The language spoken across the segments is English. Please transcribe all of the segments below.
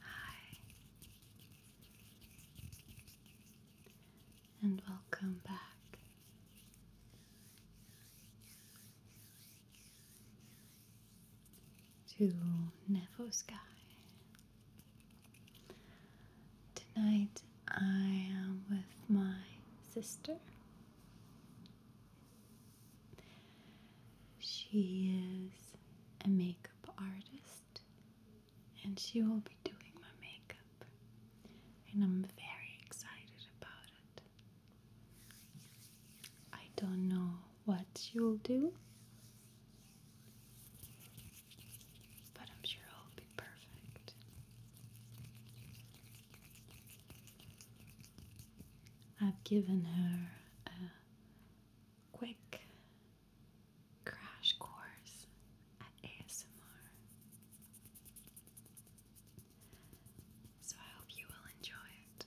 Hi, and welcome back. To Nevo Sky. Tonight I am with my sister she is a makeup artist and she will be doing my makeup, and I'm very excited about it. I don't know what you will do, but I'm sure it'll be perfect. I've given her a quick crash course at ASMR. So I hope you will enjoy it.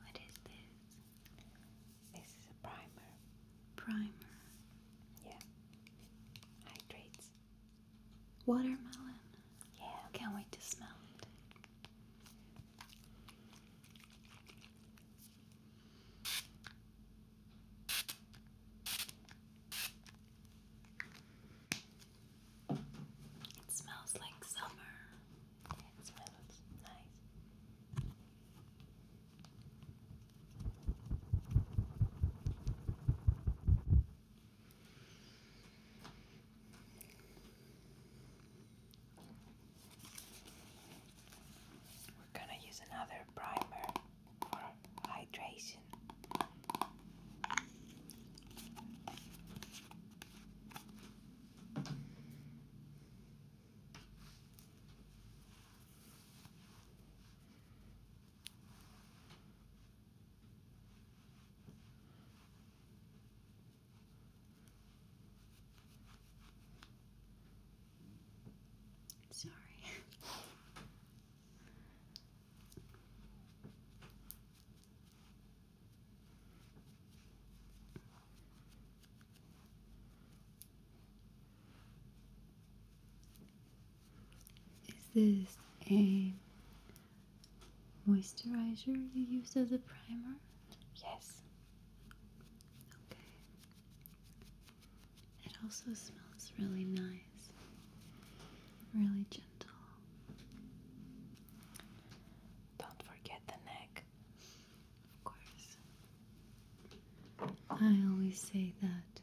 What is this? This is a primer. Primer. Yeah. Hydrates. Watermelon. Yeah, can't wait to smell it. It smells like summer. It smells nice. We're gonna use another primer for hydration. Sorry. Is this a moisturizer you use as a primer? Yes. Okay. It also smells really nice, really gentle. Don't forget the neck. Of course. I always say that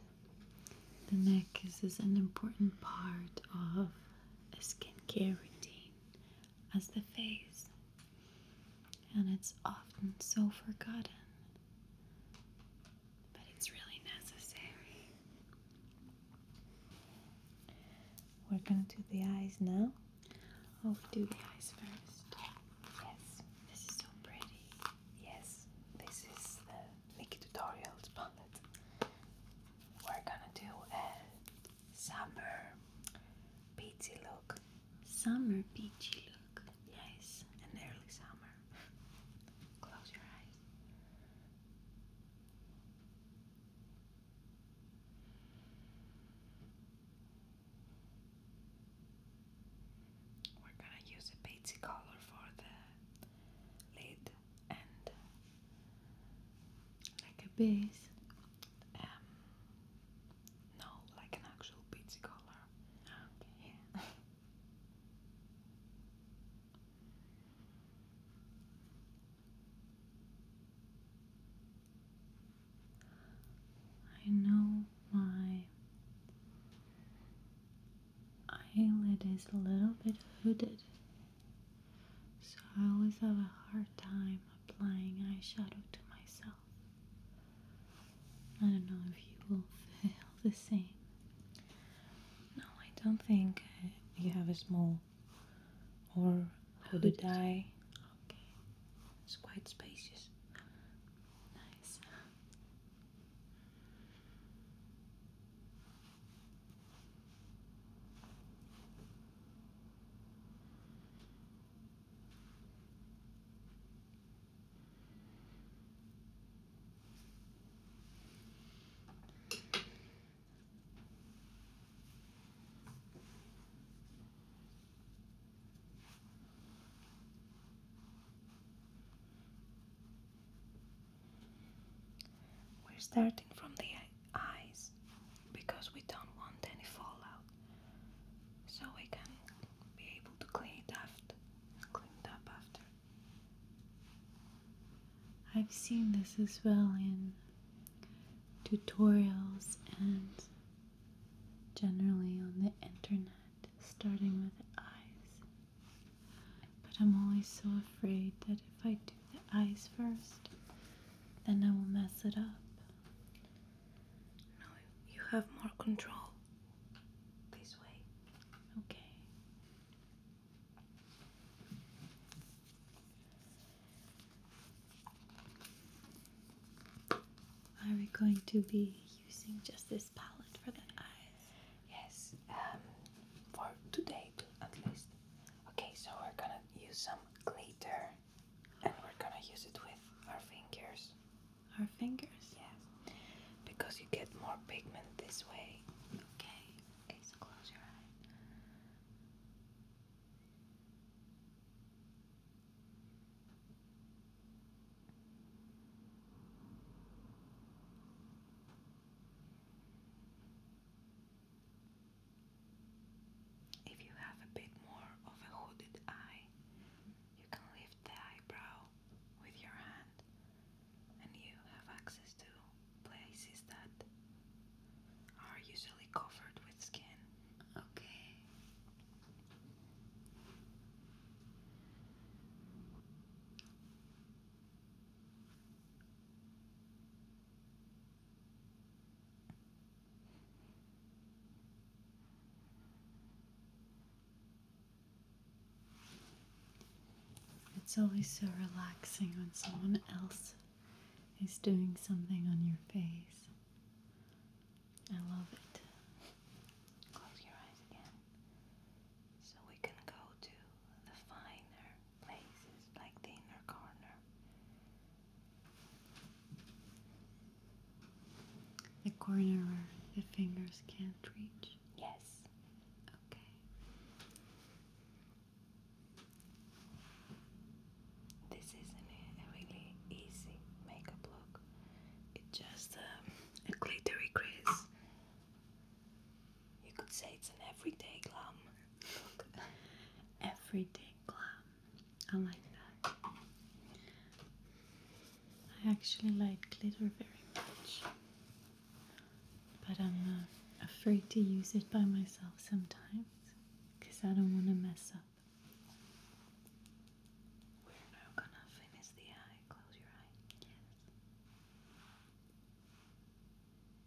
the neck is an important part of a skincare routine as the face, and it's often so forgotten, but it's really necessary. We're gonna do the eyes now. Oh, do the eyes first. Yes, this is so pretty. Yes, this is the Nikki Tutorials palette. We're gonna do a summer peachy look. Summer peachy look. Yes, and early summer. Close your eyes. We're gonna use a peachy color for the lid and like a base um, no like an actual pizza color okay I know my eyelid is a little bit hooded so I always have a hard time applying eyeshadow to myself. I don't know if you will feel the same. No, I don't think you have a small or hooded Okay, it's quite spacious. Nice. We're starting from the eyes because we don't want any fallout so we can be able to clean it after clean it up after I've seen this as well in tutorials and generally on the internet starting with eyes but I'm always so afraid that if I do the eyes first then I will mess it up. No, you have more control this way. Okay. Are we going to be using just this palette for the eyes? Yes, um, for today at least. Okay, so we're gonna use some glitter and we're gonna use it with our fingers. Our fingers? Yes. Because you get more pigment this way. Okay. Okay, so close your eyes. If you have a bit more of a hooded eye, you can lift the eyebrow with your hand, and you have access to places that are usually covered with skin. Okay. It's always so relaxing when someone else is doing something on your face. I love it. Close your eyes again so we can go to the finer places like the inner corner. The corner where the fingers can't reach? Yes. Okay. This isn't a really easy makeup look. It's just um, a glittery crease you could say it's an everyday glam everyday glam. I like that. I actually like glitter very much, but I'm uh, afraid to use it by myself sometimes because I don't want to mess up. We're now gonna finish the eye. Close your eye.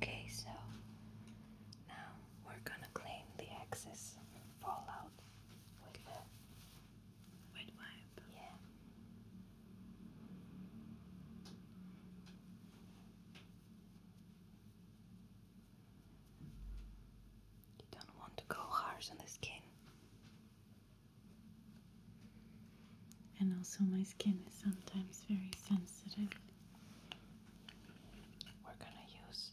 Okay, so now we're gonna clean the excess fallout with the wet wipe. Yeah. You don't want to go harsh on the skin. And also, my skin is sometimes very sensitive. We're gonna use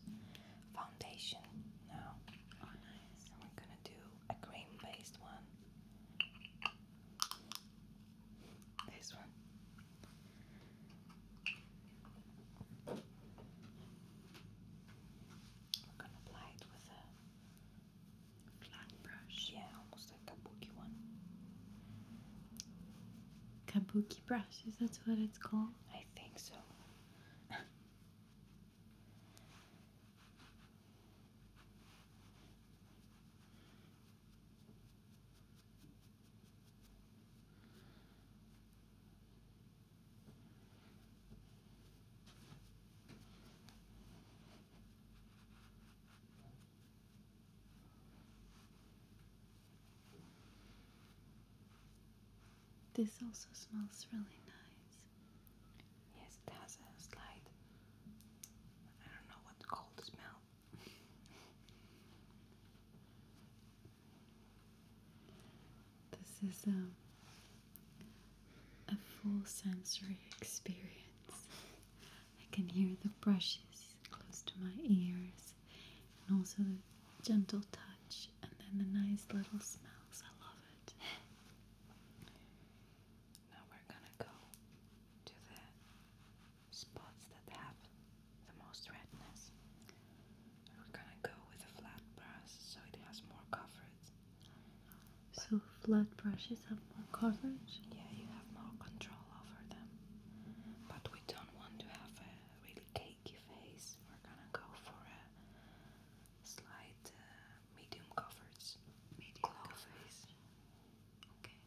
foundation now. Oh, and we're gonna do a cream based one. This one. We're gonna apply it with a flat brush. Yeah, almost a kabuki one. Kabuki brush, is that what it's called? I think so. This also smells really nice. Yes, it has a slight, I don't know what to smell. This is um, a full sensory experience. I can hear the brushes close to my ears and also the gentle touch and then the nice little smells. I love it. Now we're gonna go to the spots that have the most redness. And we're gonna go with a flat brush so it has more coverage. so flat brushes have more coverage? Yeah, you have more control over them. But we don't want to have a really cakey face. We're gonna go for a slight uh, medium coverage. Medium glow coverage. face. Okay.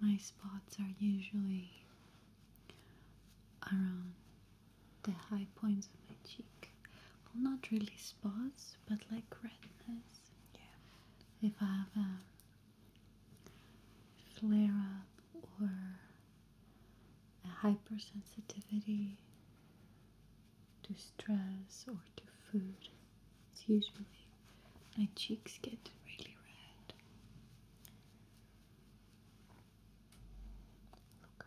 My spots are usually around the high points of my cheek. not really spots, but like redness. Yeah. If I have a flare up or a hypersensitivity to stress or to food, it's usually my cheeks get really red. Look up.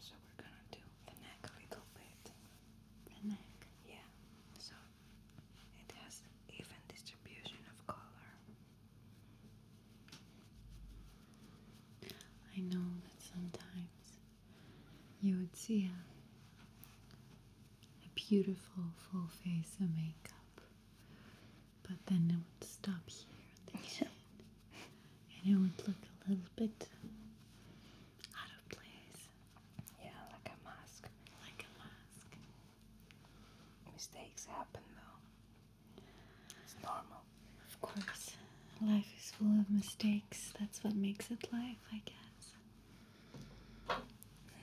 So we're gonna do the neck a little bit. The neck? Yeah. So it has even distribution of color. I know that sometimes you would see a, beautiful full face of makeup. But then it would stop here at the chin. And it would look a little bit out of place. Yeah, like a mask. Like a mask. Mistakes happen though. It's normal. Of course, life is full of mistakes. That's what makes it life, I guess.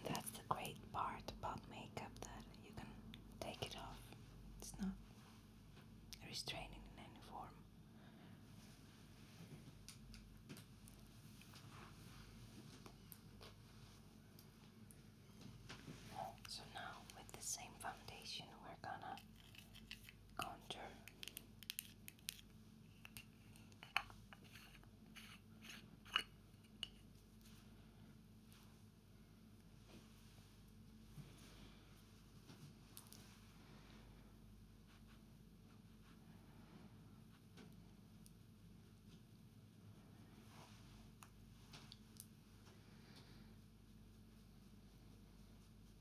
that's the great part about makeup that you can take it off. It's not restraining in any form. So now with the same foundation we're gonna contour.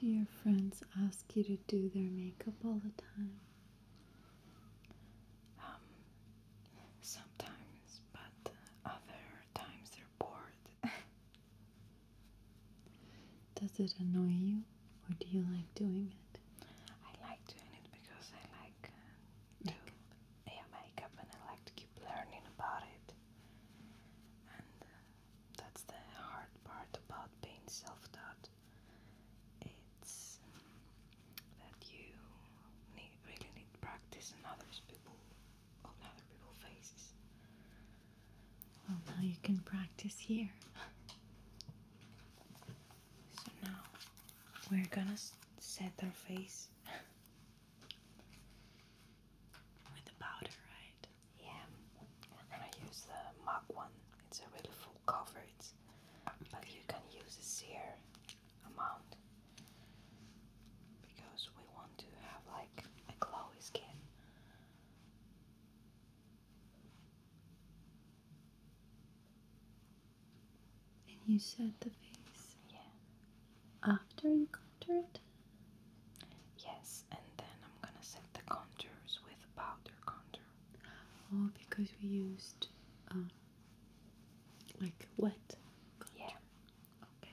Do your friends ask you to do their makeup all the time? Um, sometimes, but other times they're bored. Does it annoy you? or do you like doing it? I like doing it because I like uh, to yeah makeup and I like to keep learning about it. And uh, that's the hard part about being self-taught. It's um, that you need, really need practice and others people, other people's faces. Well, now you can practice here. So now we're gonna set our face with the powder, right? Yeah, we're use the MAC one. It's a really full coverage, but you can use a sheer amount because we want to have like a glowy skin. And you set the face? Yeah. After you it, Yes, and then I'm gonna set the contours with powder contour. Oh, because we used uh, like wet Yeah. Okay.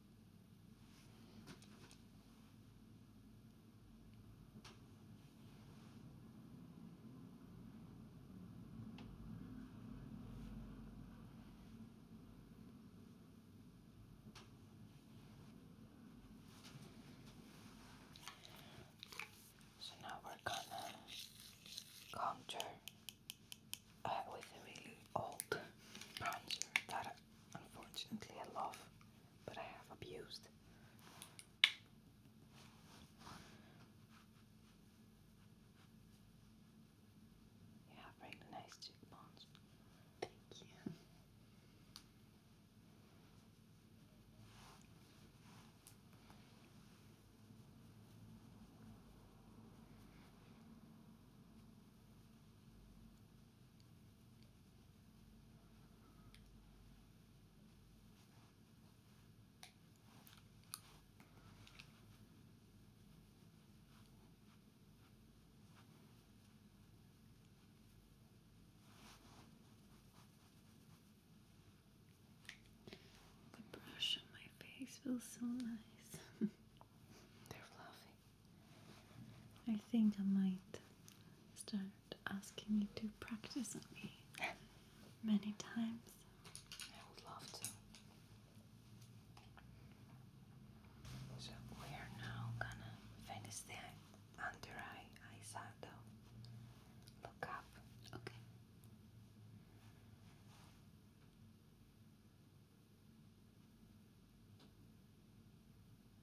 So now we're gonna contour uh, with a really old bronzer that unfortunately I love but I have abused. You have really nice cheekbones. Thank you. The brush on my face feels so nice. They're fluffy. I think I might start asking you to practice on me many times. I would love to. So we are now gonna finish the under eye eyeshadow. Look up. Okay.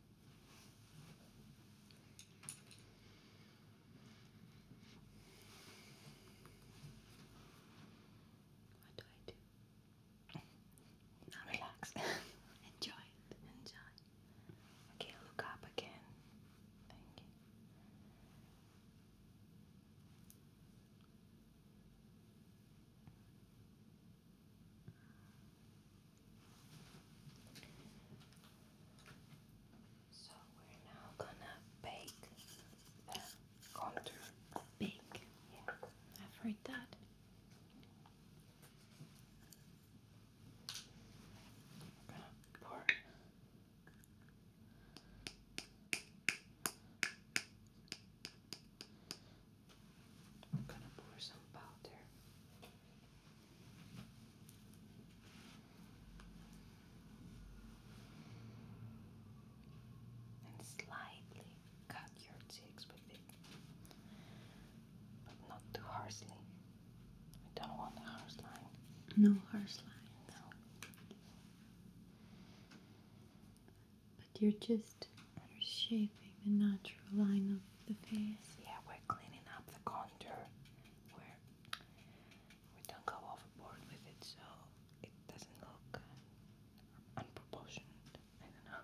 What do I do? Now relax. Enjoy it. Enjoy. Okay, look up again. Thank you. So we're now gonna bake the contour. Bake. I've heard that. We're gonna pour. I'm gonna pour some powder and slightly cut your cheeks with it, but not too harshly. We don't want harsh line. No harsh line. No. But you're just shaping the natural line of the face. Yeah, we're cleaning up the contour. We're we don't go overboard with it so it doesn't look unproportioned. I don't know.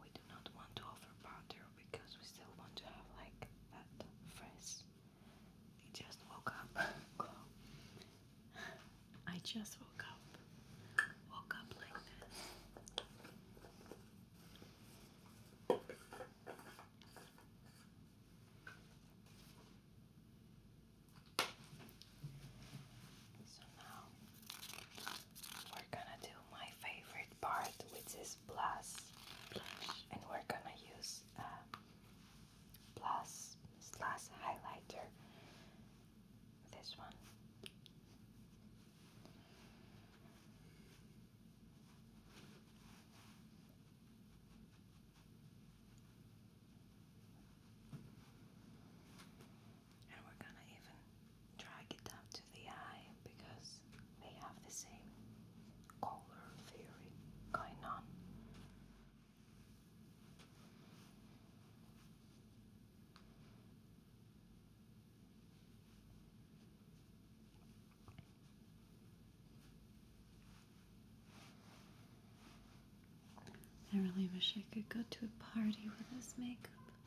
We do not want to overpowder because we still want to have like that fresh. I just woke up. I just woke up. Woke up like this. So now we're gonna do my favorite part, which is Blush. and we're gonna use a plus slash highlighter. This one. And we're gonna even drag it down to the eye because they have the same color theory going on. I really wish I could go to a party with this makeup.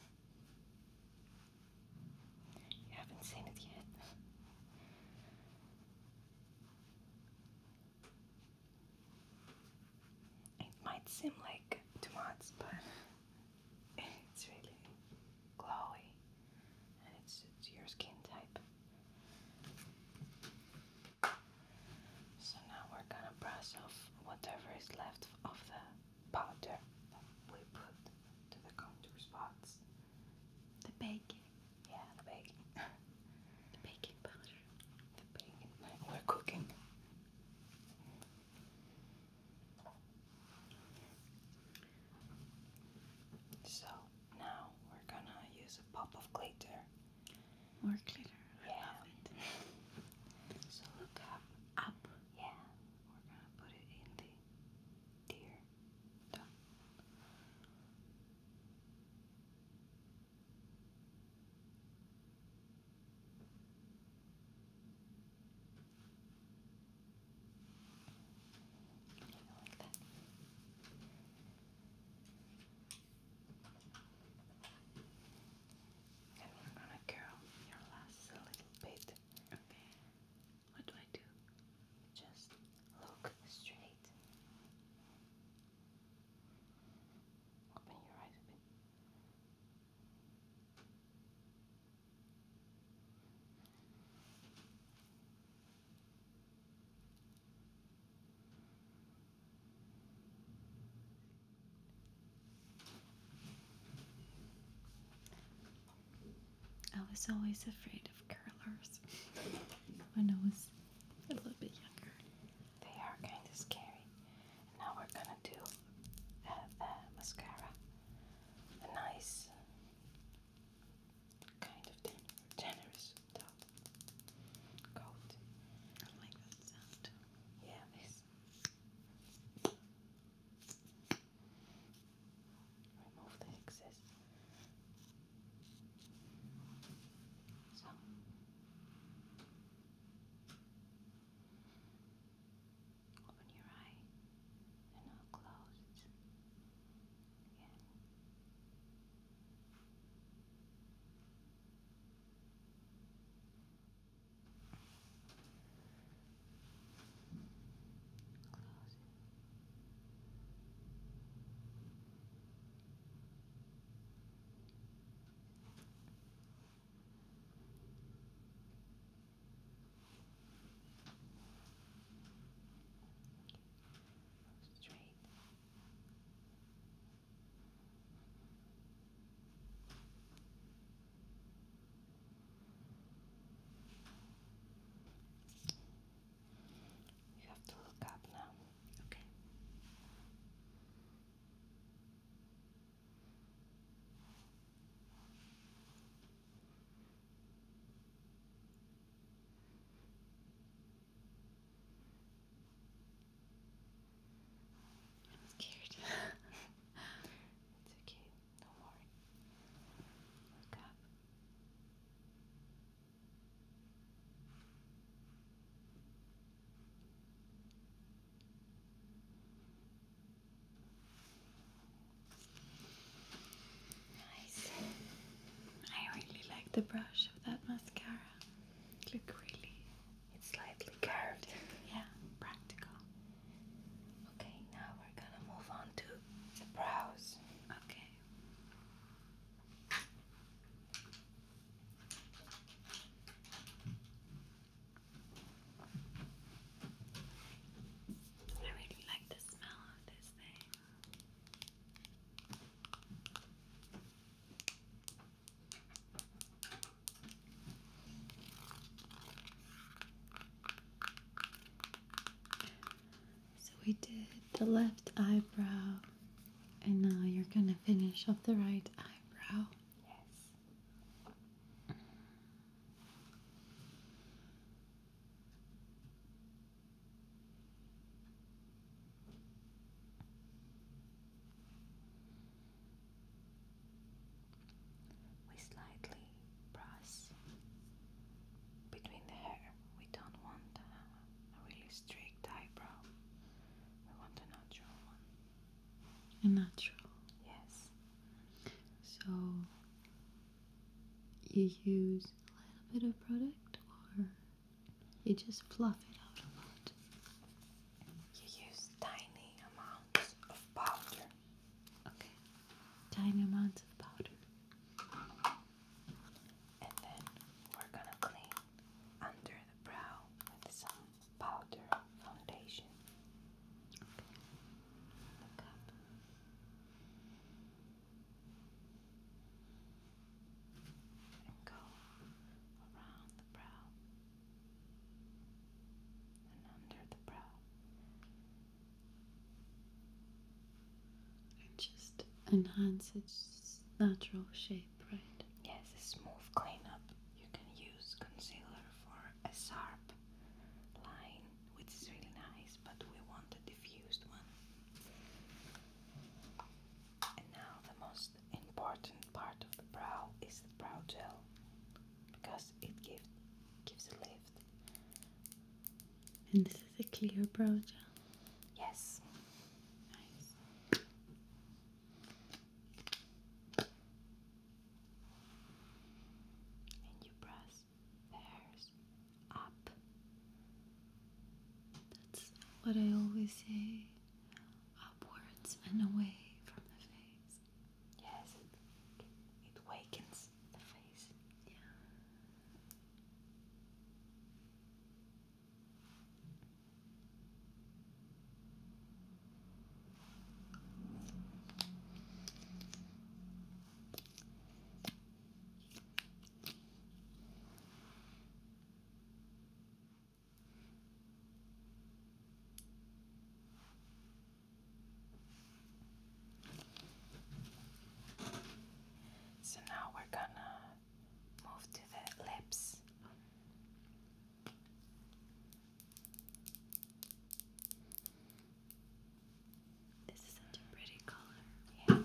You haven't seen it yet. It might seem like too much, but it's really glowy and it's, it's your skin type. So now we're gonna brush off whatever is left of the powder that we put to the contour spots. The baking. Yeah, the baking. the baking powder. The baking. We're cooking. So now we're gonna use a pop of glitter. More glitter. Yeah. so look up. Up. Yeah. We're gonna put it in the deer. Done like that. And we're gonna curl your lashes a little bit. Okay. What do I do? Just look straight. Open your eyes a bit. I was always afraid of curlers when I was a little bit younger. They are kind of scary. now we're gonna do uh, uh, mascara a nice kind of generous coat. I like that sound. Yeah, this. Remove the excess. So. Open your eye and now close it again. Close Straight. You have to look up now. Okay. I'm scared. it's okay, don't Look up. Nice. I really like the brush of that mascara. Look really. It's slightly curved. yeah, practical. Okay, now we're gonna move on to the brows. Okay. I really like the smell of this thing. So we did the left eyebrow, and now you're gonna finish off the right eyebrow. Yes. We slightly press between the hair. We don't want a, a really strict eyebrow. We want a natural one. A natural? Yes. So you use a little bit of product or you just fluff it out a lot. You use tiny amounts of powder. Okay. Tiny amounts of powder. And then we're gonna clean under the brow with some powder foundation. And just enhance its natural shape, right? Yes, a smooth cleanup. You can use concealer for a sharp line, which is really nice, but we want a diffused one. And now the most important part of the brow is the brow gel because it give, gives a lift. And this is a clear brow gel? Yes. Nice and you press the hairs up. That's what I always say upwards and away from the face. Yes, it, it wakens the face. Yeah. So now we're gonna move to the lips. This is such a pretty color. Yeah.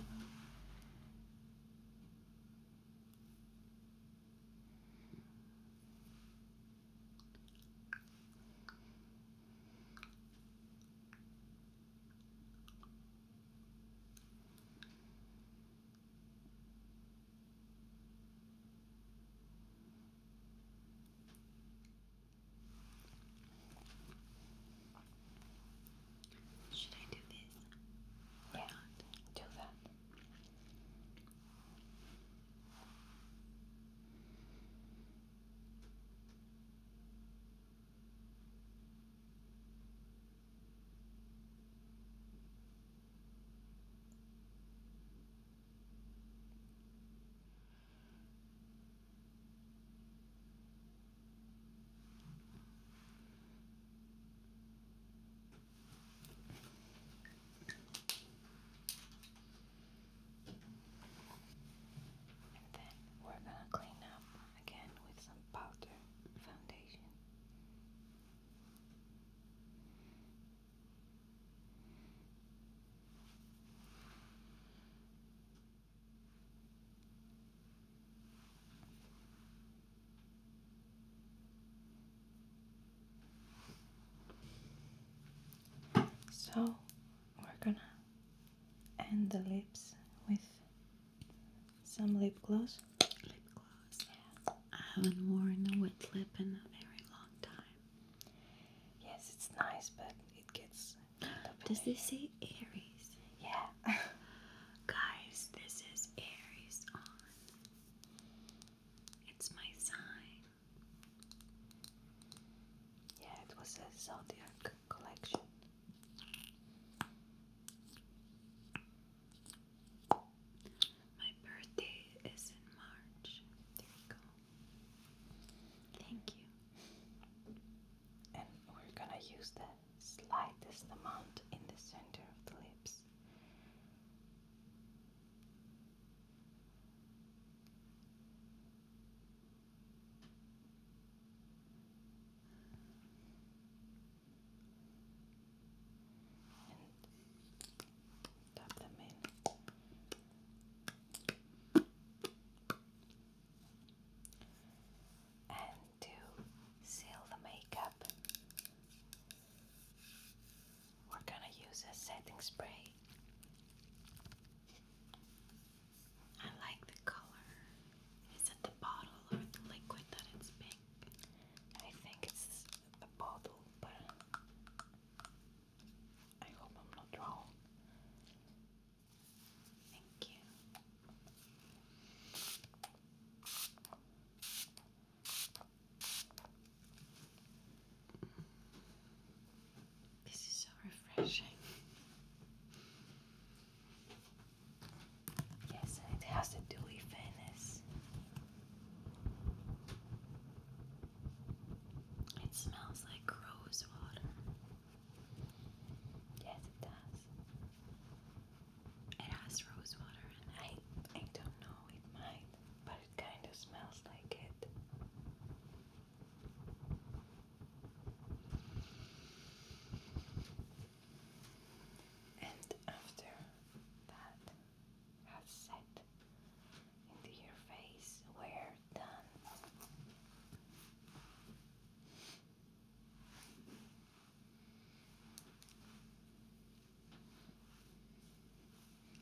Should I do this? yeah, do that. And then we're gonna clean up again with some powder foundation. So we're gonna end the lips with some lip gloss. Lip gloss. Yeah. I haven't worn a wet lip in a very long time. Yes, it's nice, but it gets. Does this say Aries? Yeah. Guys, this is Aries on. It's my sign. Yeah, it was a zodiac collection. My birthday is in March. There you go. Thank you. And we're gonna use the slightest amount in the center of the lips tap them in and to seal the makeup we're gonna use a setting spray I like the color is it the bottle or the liquid that it's pink I think it's the bottle but I hope I'm not wrong. Thank you. This is so refreshing. Yes, and it has a dewy fairness. It smells like rose water. Yes, it does. It has rose water I, I don't know, it might, but it kind of smells like it. And after that has set, into your face were done.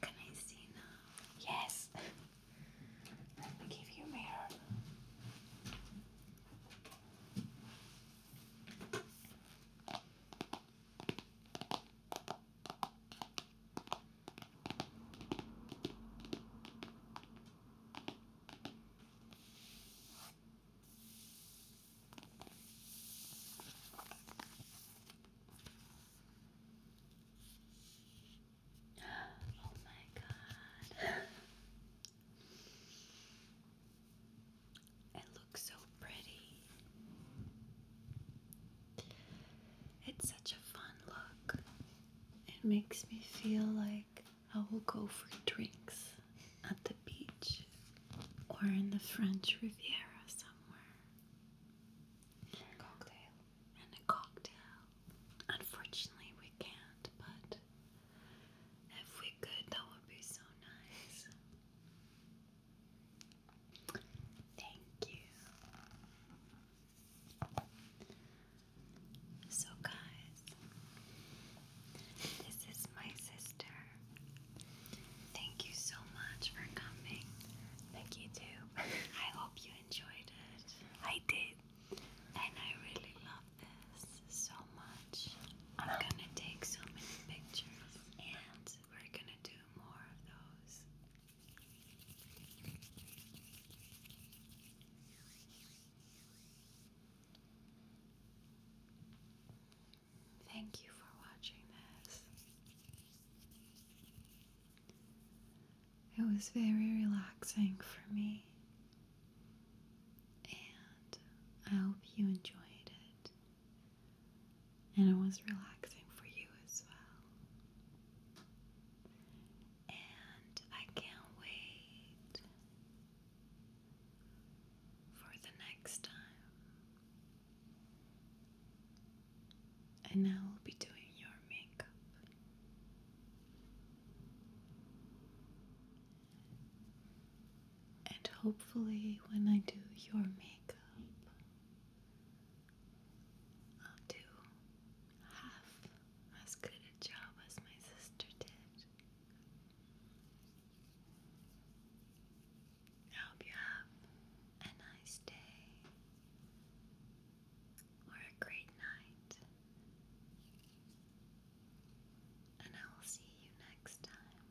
Can I see now? Yes. Let me give you a mirror. Oh my god. it looks so pretty. It's such a fun look. It makes me feel like I will go for drinks at the beach or in the French Riviera somewhere. cocktail. And a cocktail. Unfortunately, we can't, but if we could, that would be so nice. Thank you. So, guys, this is my sister. Thank you so much for coming. Thank you too. I hope you enjoyed it. I did. And I really love this so much. I'm gonna take so many pictures and we're gonna do more of those. Thank you for watching this. It was very relaxing for me, and I hope you enjoyed it. And it was relaxing for you as well. And I can't wait for the next time. And I will be doing your makeup. And hopefully, when I do your makeup, I'll do half as good a job as my sister did. I hope you have a nice day or a great night. And I will see you next time.